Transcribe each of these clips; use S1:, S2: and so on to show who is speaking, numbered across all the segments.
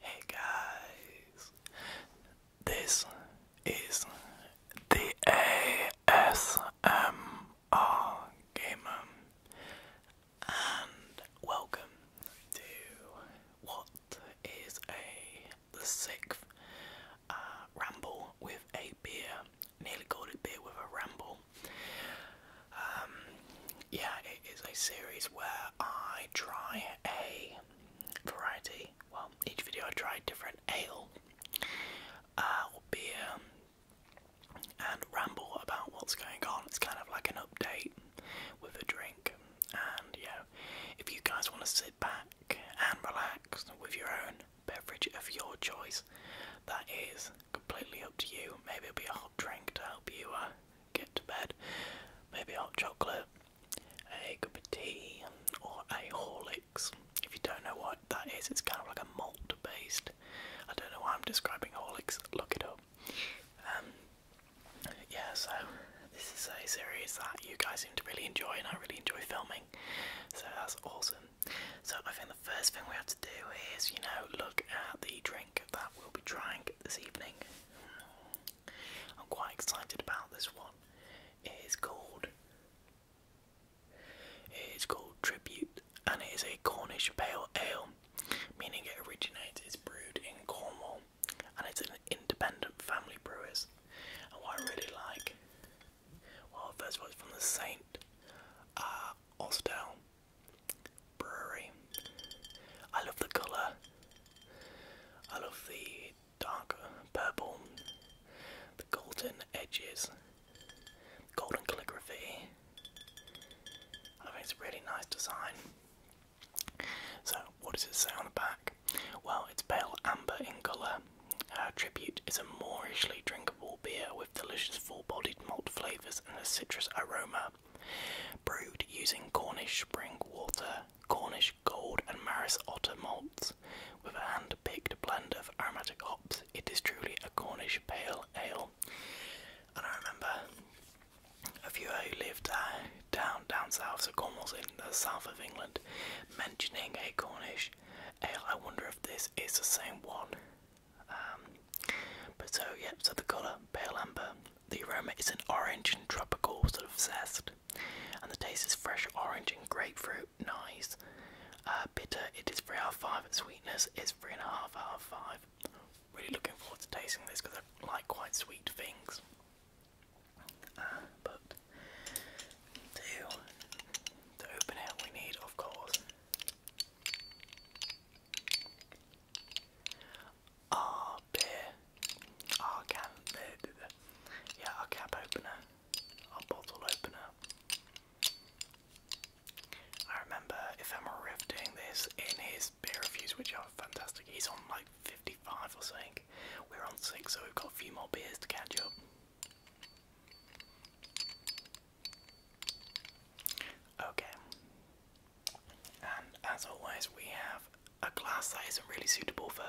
S1: Hey guys, this is the ASMR Gamer, and welcome to what is a the sixth uh, ramble with a beer. Nearly called it beer with a ramble. Um, yeah, it is a series where I try a variety. Well, each video I try different ale uh, or beer and ramble about what's going on. It's kind of like an update with a drink, and yeah, if you guys want to sit back and relax with your own beverage of your choice, that is completely up to you. Maybe it'll be a hot drink to help you uh, get to bed, maybe hot chocolate, a cup of tea, or a Horlicks. If you don't know what that is, it's kind of like a malt based. I don't know why I'm describing Horlicks, look it up. Um, yeah, so this is a series that you guys seem to really enjoy, and I really enjoy filming. So that's awesome. So I think the first thing we have to do is, you know, look at the drink that we'll be trying this evening. I'm quite excited about this one. It is called it is called Tribute and it is a Cornish pale ale, meaning it originates, it's brewed in Cornwall and it's an independent family brewer. And what I really like, well, first of all, it's from the Saint Ostel uh, Brewery. I love the colour. I love the dark purple, the golden edges, golden calligraphy. I think it's a really nice design. So what does it say on the back? Well, it's pale amber in colour. Our Tribute is a moorishly drinkable beer with delicious full-bodied malt flavours and a citrus aroma. Brewed using Cornish spring water, Cornish gold and Maris otter malts, with a hand-picked blend of aromatic hops, it is truly a Cornish pale ale. And I remember a viewer who lived uh, down down south, so Cornwall's in the south of England, mentioning a Cornish ale. I wonder if this is the same one. Um, but so, yeah, so the colour, pale amber. The aroma is an orange and tropical sort of zest. And the taste is fresh orange and grapefruit. Nice. Uh, bitter, it is 3 out of 5. Sweetness is 3.5 out of 5. Really looking forward to tasting this because I like quite sweet things. Um, but to to open we need, of course, our beer, our can, yeah, our cap opener, our bottle opener. I remember Ephemeral Riff doing this in his beer reviews, which are fantastic. He's on like 50 55 or something. We're on 6, so we've got a few more beers to catch up. Okay. And as always, we have a glass that isn't really suitable for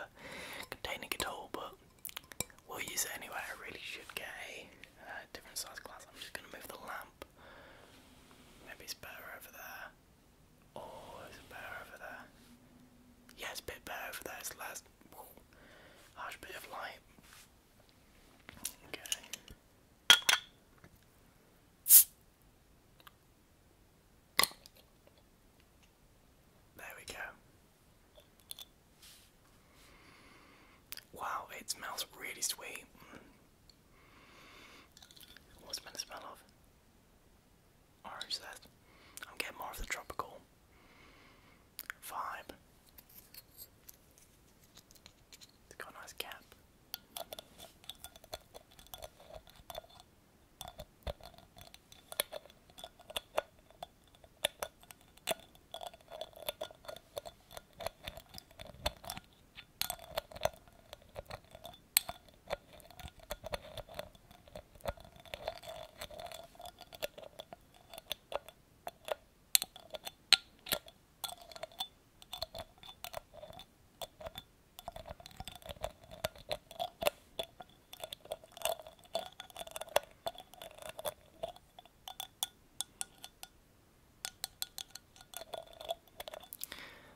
S1: containing it all, but we'll use it anyway. I really should get a different size glass. I'm just going to move the lamp. Maybe it's better over there. Or is better over there? yeah, it's a bit better for that. It's the last harsh bit of light. Okay. There we go. Wow, it smells really sweet. What's it meant to smell of? orange that. I'm getting more of the tropical vibe. It's got nice cap.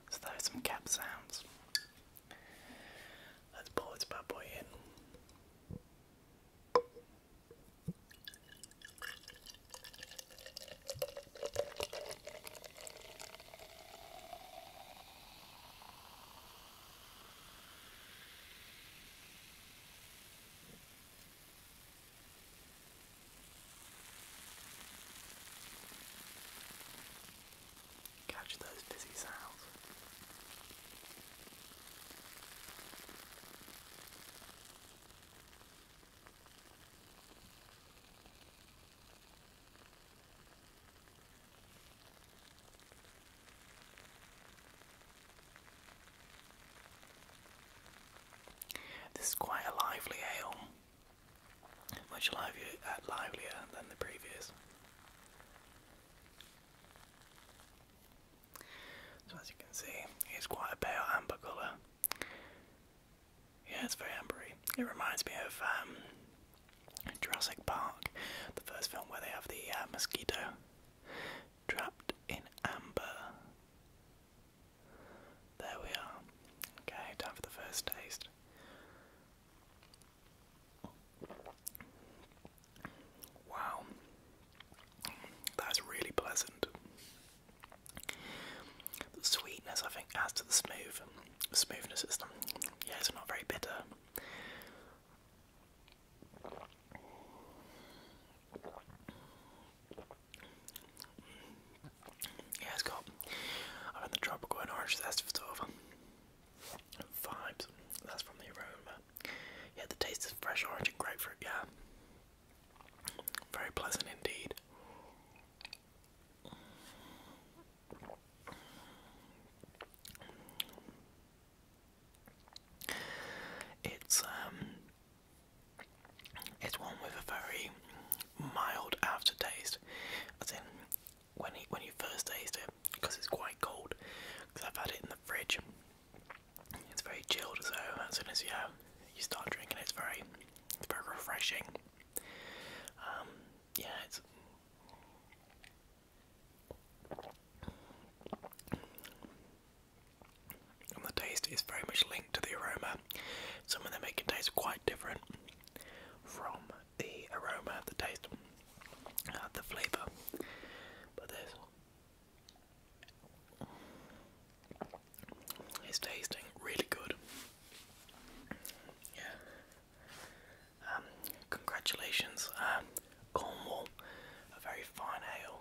S1: So that is some cap sounds. Let's pull this bad boy in. Catch those busy sounds. This is quite a lively ale, much livelier, uh, than the previous. So as you can see, it's quite a pale amber colour. Yeah, it's very ambery. It reminds me of um, Jurassic Park, the first film where they have the uh, mosquito trapped in amber. There we are. Okay, time for the first taste. Wow, that's really pleasant. The sweetness, I think, adds to the smooth smoothness. It's not, yeah, it's not very bitter. Yeah, it's got. I think the tropical and orange zest sort of Vibes. That's from the aroma. Yeah, the taste is fresh orange and grapefruit. Yeah, very pleasant indeed. It's um, it's one with a very mild aftertaste. As in, when he, when you first taste it because it's quite cold. Because I've had it in the fridge. It's very chilled, so as soon as you uh, you start drinking, it's very it's very refreshing. Um, yeah, it's. And the taste is very much linked to the aroma. Some of them make it taste quite different from the aroma, the taste, uh, the flavour. But this is tasting really good. Yeah. Um, congratulations, um, Cornwall, a very fine ale.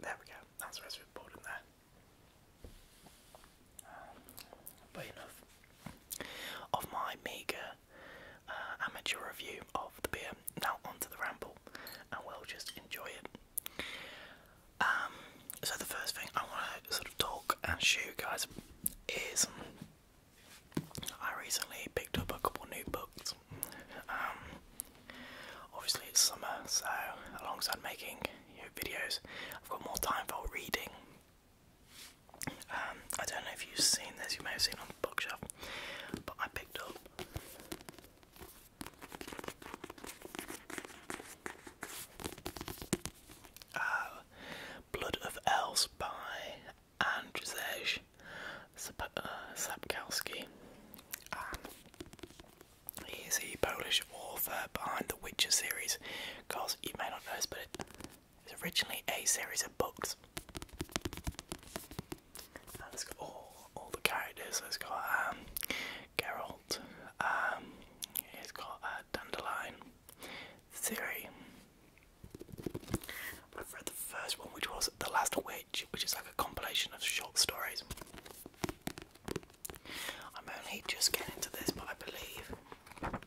S1: There we go. That's what's reported there. But enough of my meagre uh, amateur review of the beer. Now onto the ramble, and we'll just enjoy it. Um, so the first thing I want to sort of talk and show you guys is I recently picked up a couple new books. Um, obviously it's summer, so alongside making videos, I've got more time for reading. Um, I don't know if you've seen this, you may have seen on the bookshelf, but I picked up uh, Blood of Elves by Andrzej uh, Sapkowski. Um, Polish social behind the Witcher series. Because you may not know this, but it's originally a series of books. it's got all, all the characters. It's got um, Geralt, um, it's got uh, Dandelion, Theory. I've read the first one, which was The Last Witch, which is like a compilation of short stories. I'm only just getting into this, but I believe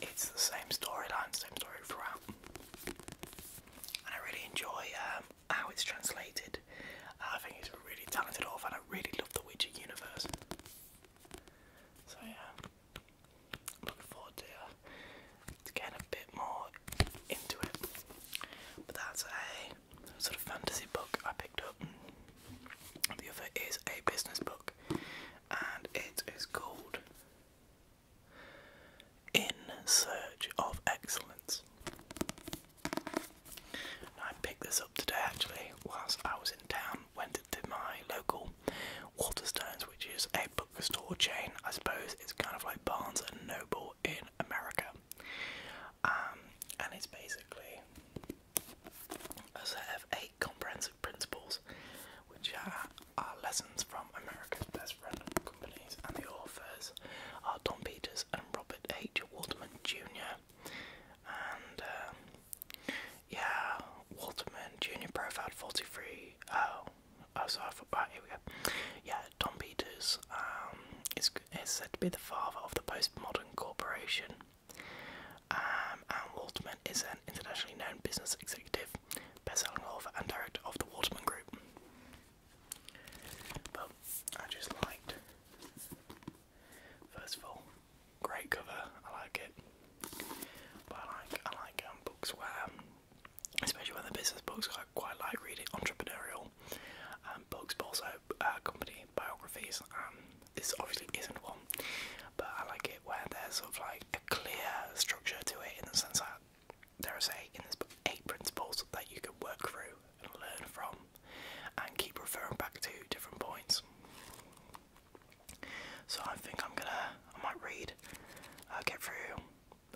S1: it's the same storyline, same story throughout. And I really enjoy um, how it's translated. I think it's really talented off, and I really love the Witcher universe. So yeah, i forward uh, to, getting a bit more into it. But that's a sort of fantasy book I've the other is a business book, and it is called In Search of Excellence. I picked this up today actually whilst I was in town, went into my local Waterstones, which is a bookstore chain, I suppose it's kind of like Barnes and Noble in America. Um, and it's basically a set of eight comprehensive principles, which are, are lessons from America's best friend companies, and the authors are Tom Peters and Robert H. Waterman Jr. And um, yeah, Waterman Jr. profiled 43. Oh, oh, sorry, I forgot. Right, here we go. Yeah, Tom Peters um, is, is said to be the father of the postmodern corporation. Um, Anne Walterman is an internationally known business executive, best-selling author and director of the Waterman Group. But I just liked, first of all, great cover. I like it. I like I like um, books where, especially when the business books, I quite like reading entrepreneurial um, books, but also uh, company biographies. Um, this obviously isn't one, but I like it where there's sort of like a clear structure to it in the sense that there is a in this book eight principles that you can work through and learn from, and keep referring back to different points. So I think I'm gonna I might read, uh, get through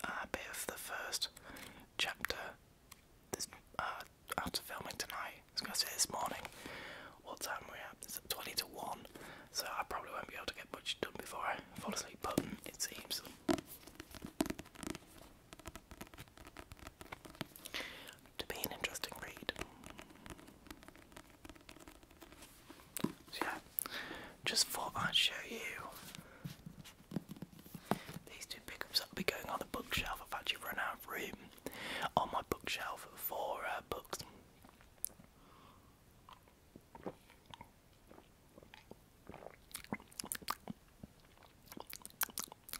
S1: a bit of the first chapter. This uh, after filming tonight. I gonna say this morning. What time we at? It's 20 to 1, so I probably won't be able to get much done before I fall asleep, but it seems. To be an interesting read. So yeah, just thought I'd show you these two pickups that'll be going on the bookshelf. I've actually run out of room on my bookshelf for uh, books.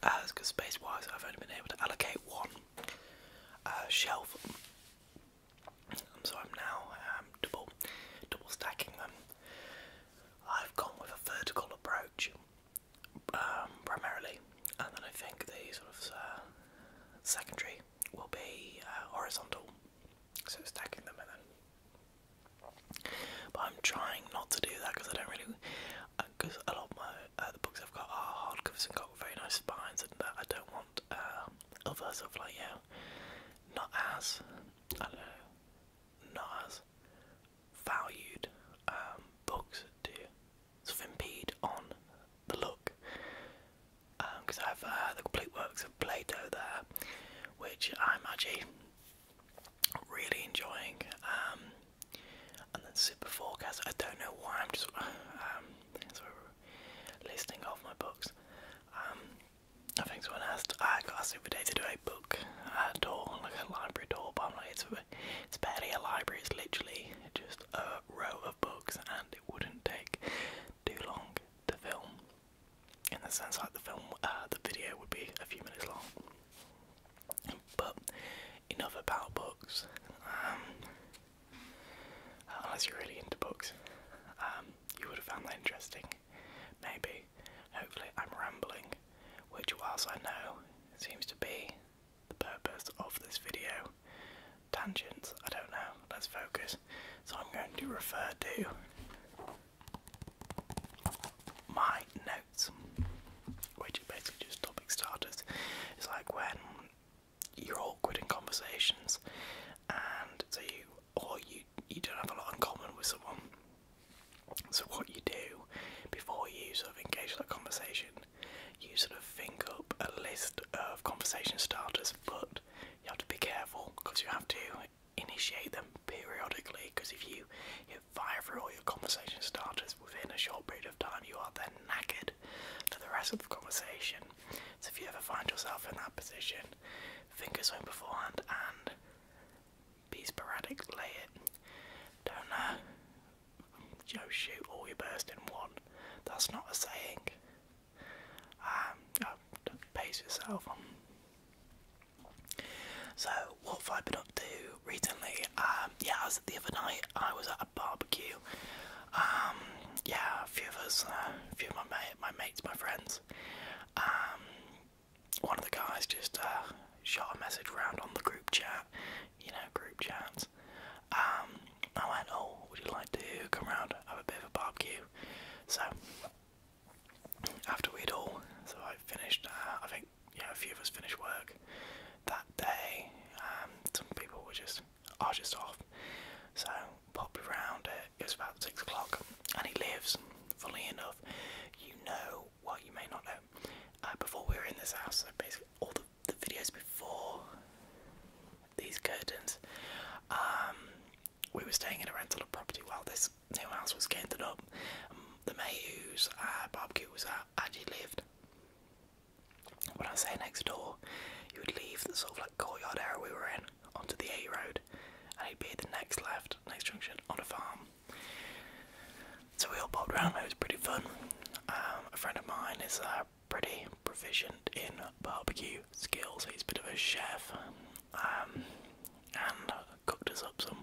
S1: As uh, because space wise, I've only been able to allocate one uh, shelf, so I'm now um, double double stacking them. I've gone with a vertical approach um, primarily, and then I think the sort of uh, secondary will be uh, horizontal, so stacking them and then. But I'm trying not to do that because I don't really, because uh, a lot of my uh, the books I've got are hardcovers and got very nice spines, and uh, I don't want uh, other sort of like yeah, not as I don't know, not as valued um, books to sort impede on the look. Because um, I have uh, the complete works of Plato there, which I'm actually really enjoying. Um, and then Super I don't know why I'm just um, listing off my books. I think someone asked, I got asked the day to do a book uh, tour, like a library tour, but I'm like, it's a Library is literally just a row of books, and it wouldn't take too long to film. In the sense, like the film, uh, the video would be a few minutes long. But enough about books. Um, unless you're really into books, um, you would have found that interesting. Maybe, hopefully, I'm rambling, which, whilst I know, seems to be the purpose of this video. Tangents, I don't know, let's focus. So I'm going to refer to my notes, which are basically just topic starters. It's like when you're awkward in conversations and so you or you you don't have a lot in common with someone. So what you do before you sort of engage in that conversation you sort of think up a list of conversation starters, but you have to be careful because you have to initiate them periodically. Because if you, fire through all your conversation starters within a short period of time, you are then knackered for the rest of the conversation. So if you ever find yourself in that position, think of something beforehand and be sporadic. Lay it. Don't uh, you shoot all your burst in one. That's not a saying. Um, pace yourself. So, what have I been up to recently? Um, yeah, I was the other night. I was at a barbecue. Um, yeah, a few of us, uh, a few of my mate, my mates, my friends. one of the guys just uh, shot a message round on the group chat you know, group chats. Um, I went, oh, would you like to come round, have a bit of a barbecue? So, after we'd all, so I finished, uh, I think, yeah, a few of us finished work that day. Um, some people were just, are just off. So, popped around, it, it was about six o'clock, and he lives, fully enough, you know well, you may not know. Uh, before we were in this house, so basically all the, the videos before these curtains, um, we were staying in a rental property while this new house was getting up. Um, the Mayhew's uh, barbecue was out, uh, actually lived. When I say next door, you would leave the sort of like courtyard area we were in onto the A road, and he'd be at the next left, next junction on a farm. So we all bobbed around, it was pretty fun. Um, a friend of mine is uh, pretty proficient in barbecue skills, he's a bit of a chef, um, and cooked us up some,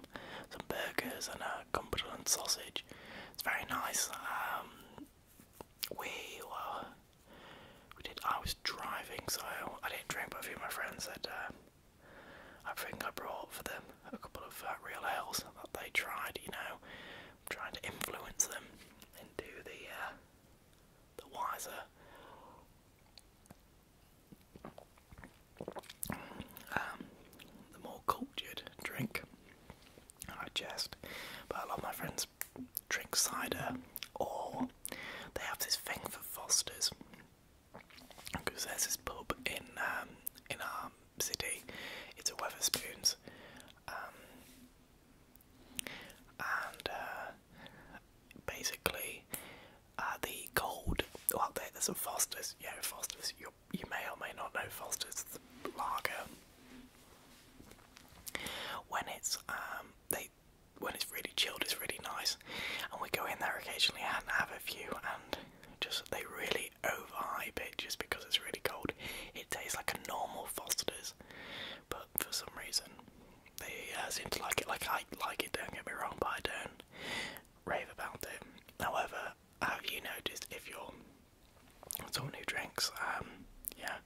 S1: some burgers and a uh, cumberland sausage. It's very nice. Um, we were, we did, I was driving, so I didn't drink, but a few of my friends said, uh, I think I brought for them a couple of real ales that they tried, you know, trying to influence them into the uh, the wiser um, the more cultured drink. I jest, but a lot of my friends drink cider, or they have this thing for Fosters because there's this pub in um, in our um, city. It's a Weatherspoons, um, and uh, basically uh, the gold. Well, there's a Foster's. Yeah, Foster's. You you may or may not know Foster's the lager. When it's um, they when it's really chilled, it's really nice, and we go in there occasionally and have a few and just they really overhype it just because it's really cold. It tastes like a normal Foster's, but for some reason they uh, seem to like it. Like I like it. Don't get me wrong, but I don't rave about it. However, have you noticed if you're someone who drinks, um, yeah,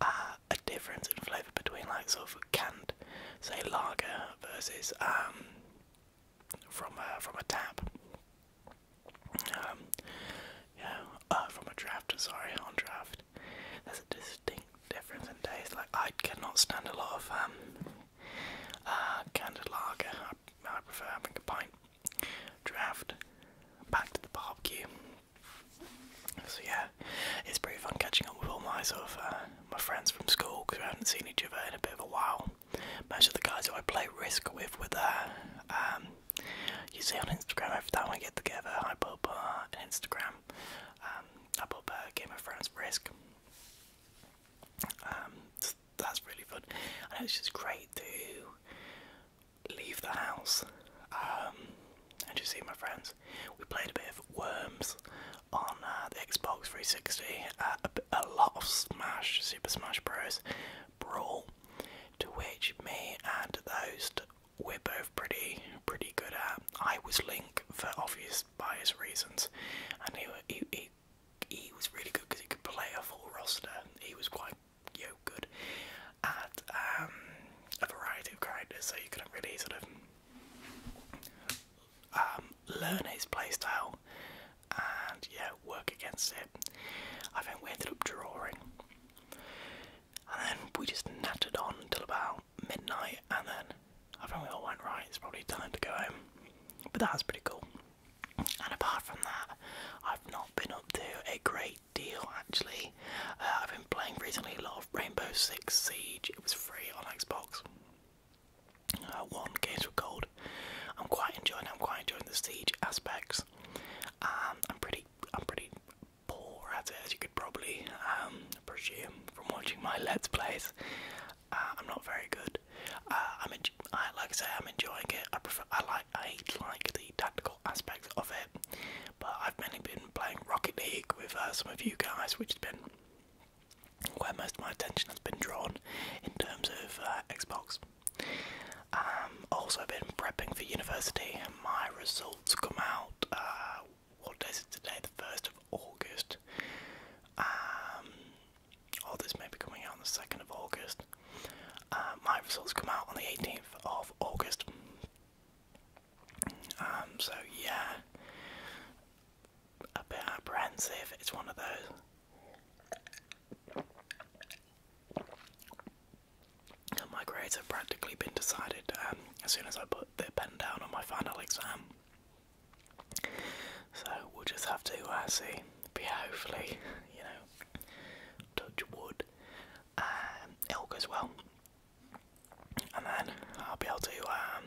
S1: uh, a difference in flavour between like sort of canned, say lager versus um, from a, uh, from a tap. Um, yeah, uh, from a draft. Sorry, on draft. There's a distinct difference in taste. Like I cannot stand a lot of um, uh, lager. I, prefer having a pint. Draft. Back to the barbecue. So yeah, it's pretty fun catching up with all my sort of uh, my friends from school because we haven't seen each other in a bit of a while most of the guys that I play Risk with were there. Um, you see on Instagram every time I get together, I put up uh, Instagram. Um, I put up uh, Game of Thrones Risk. Um, that's really fun, and it's just great to leave the house um, and just see my friends. We played a bit of Worms on uh, the Xbox 360, uh, a lot of Smash, Super Smash Bros brawl, to which me and the we're both pretty pretty good at. I was Link for obvious bias reasons, and he he he, was really good because he could play a full roster. He was quite you know, good at um, a variety of characters, so you could really sort of um, learn his playstyle and yeah, work against it. I think we ended up drawing. And then we just nattered on until about midnight, and then I think we all went right. It's probably time to go home. But that was pretty cool. And apart from that, I've not been up to a great deal actually. Uh, I've been playing recently a lot of Rainbow Six Siege. It was free on Xbox. Uh, one games were gold I'm quite enjoying. I'm quite enjoying the siege aspects. Um, I'm pretty. I'm pretty poor at it, as you could probably um, presume from watching my let's plays. Uh, I'm not very good. Uh, I'm. I, like I say, I'm enjoying it. I prefer. I like. I hate like the tactical aspects of it. But I've mainly been playing Rocket League with uh, some of you guys, which has been where most of my attention has been drawn in terms of Xbox. Um, also, been prepping for university. My results come out. Uh, what day is it today? The first of August. Um, oh, this may be coming out on the second of August. Uh, my results come out on the eighteenth of August. Um, so yeah, a bit apprehensive. It's one of those. My grades have practically been decided um, as soon as I put the pen down on my final exam. So we'll just have to uh, see. But hopefully, you know, touch wood, um, it'll go as well. And then I'll be able to um,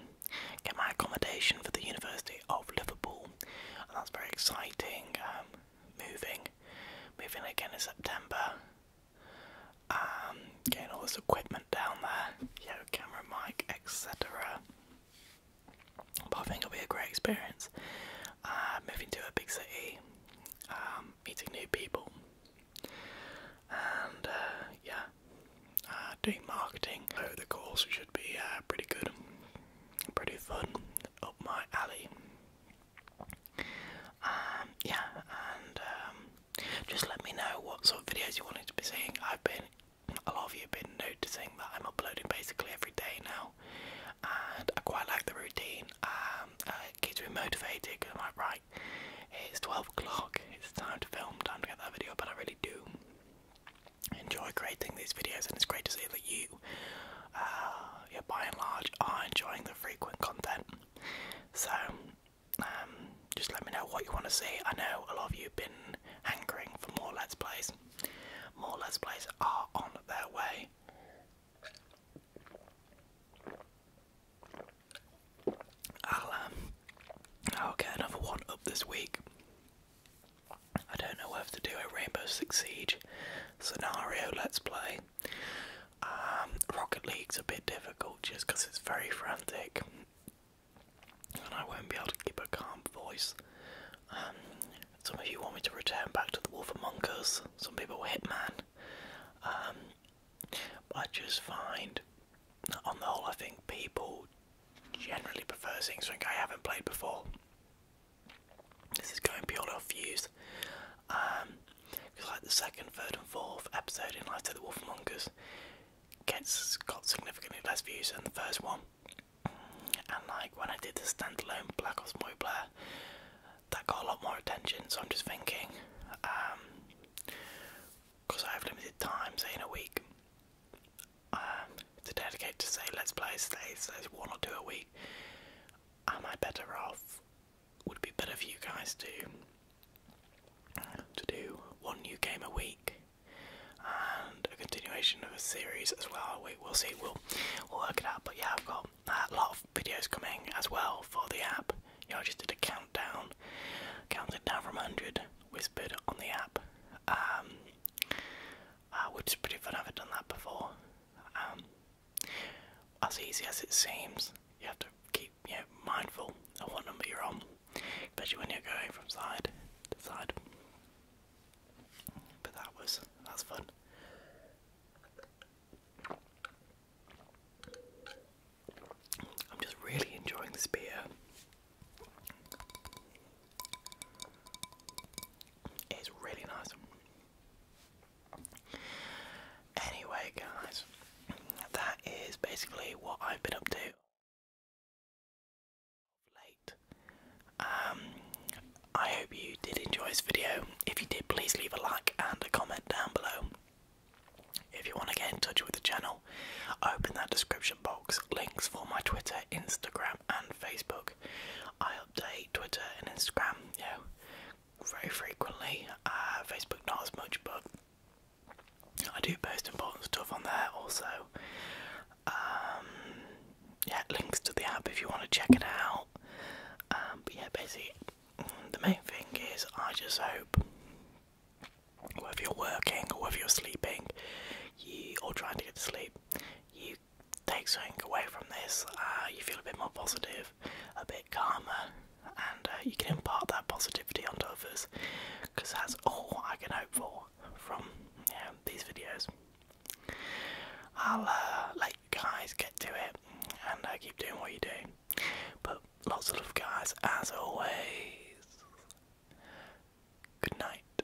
S1: get my accommodation for the University of Liverpool, and that's very exciting. Um, moving, moving again in September. Um, getting all this equipment down there, camera, mic, etc. But I think it'll be a great experience. Uh, moving to a big city, um, meeting new people, and uh, yeah, uh, doing marketing. So the course should be pretty good pretty fun, up my alley. Um, yeah, and um, just let me know what sort of videos you wanted to be seeing. I've been, a lot of you have been noticing that I'm uploading basically every day now, and I quite like the routine. Um, uh, it keeps me motivated. Cause right, it's 12 o'clock. It's time to film. Time to get that video. But I really do enjoy creating these videos, and it's great to see that you, uh, yeah, by and large, are enjoying the frequent content. So, um, just let me know what you want to see. I know a lot of you have been hankering for more Let's Plays. More Let's Plays are on their way. I'll, um, i another one up this week. I don't know whether to do a Rainbow Six Siege scenario let's play. Um, Rocket League's a bit difficult just because it's very frantic and I won't be able to keep a calm voice. Um, some of you want me to return back to the Wolf of Us, some people were Hitman. Um, I just find, on the whole, I think people generally prefer things like I haven't played before. This is going beyond our views. because um, like the second, third, and fourth episode in Life of the Wolfmongers gets got significantly less views than the first one. And like when I did the standalone Black Ops Boy Blair, that got a lot more attention. So I'm just thinking, because um, I have limited time, say in a week, um, to dedicate to say let's play a stage, say, say one or two a week, am I better off? Would be better for you guys to to do one new game a week and a continuation of a series as well? We, we'll see. We'll we'll work it out. But yeah, I've got a lot of videos coming as well for the app. Yeah, I just did a countdown, counted down from 100, whispered on the app. Um, Ah, which is pretty fun. I haven't done that before. Um, as easy as it seems, you have to keep you mindful of what number you're on, especially when you're going from side to side. But that was that's fun. I'm just really enjoying this beer. It's really nice. Anyway, guys, that is basically what I've been up to late. Um, I hope you did enjoy this video. If you did, please leave a like and a comment down below. If you want to get in touch with the channel, open that description box. Links for my Twitter, Instagram, and Facebook. I update Twitter and Instagram, you very frequently. Uh, Facebook not as much, but I do post important stuff on there also. Um, yeah, links to the app if you want to check it out. Um, but yeah, basically, the main thing is I just hope whether you're working or whether you're sleeping, you or trying to get to sleep, you take something away from this, uh, you feel a bit more positive, a bit calmer, and uh, you can impart that positivity onto others. Because that's all I can hope for from these videos. I'll uh, let you guys get to it and I keep doing what you do. But lots of love, guys, as always. Good night.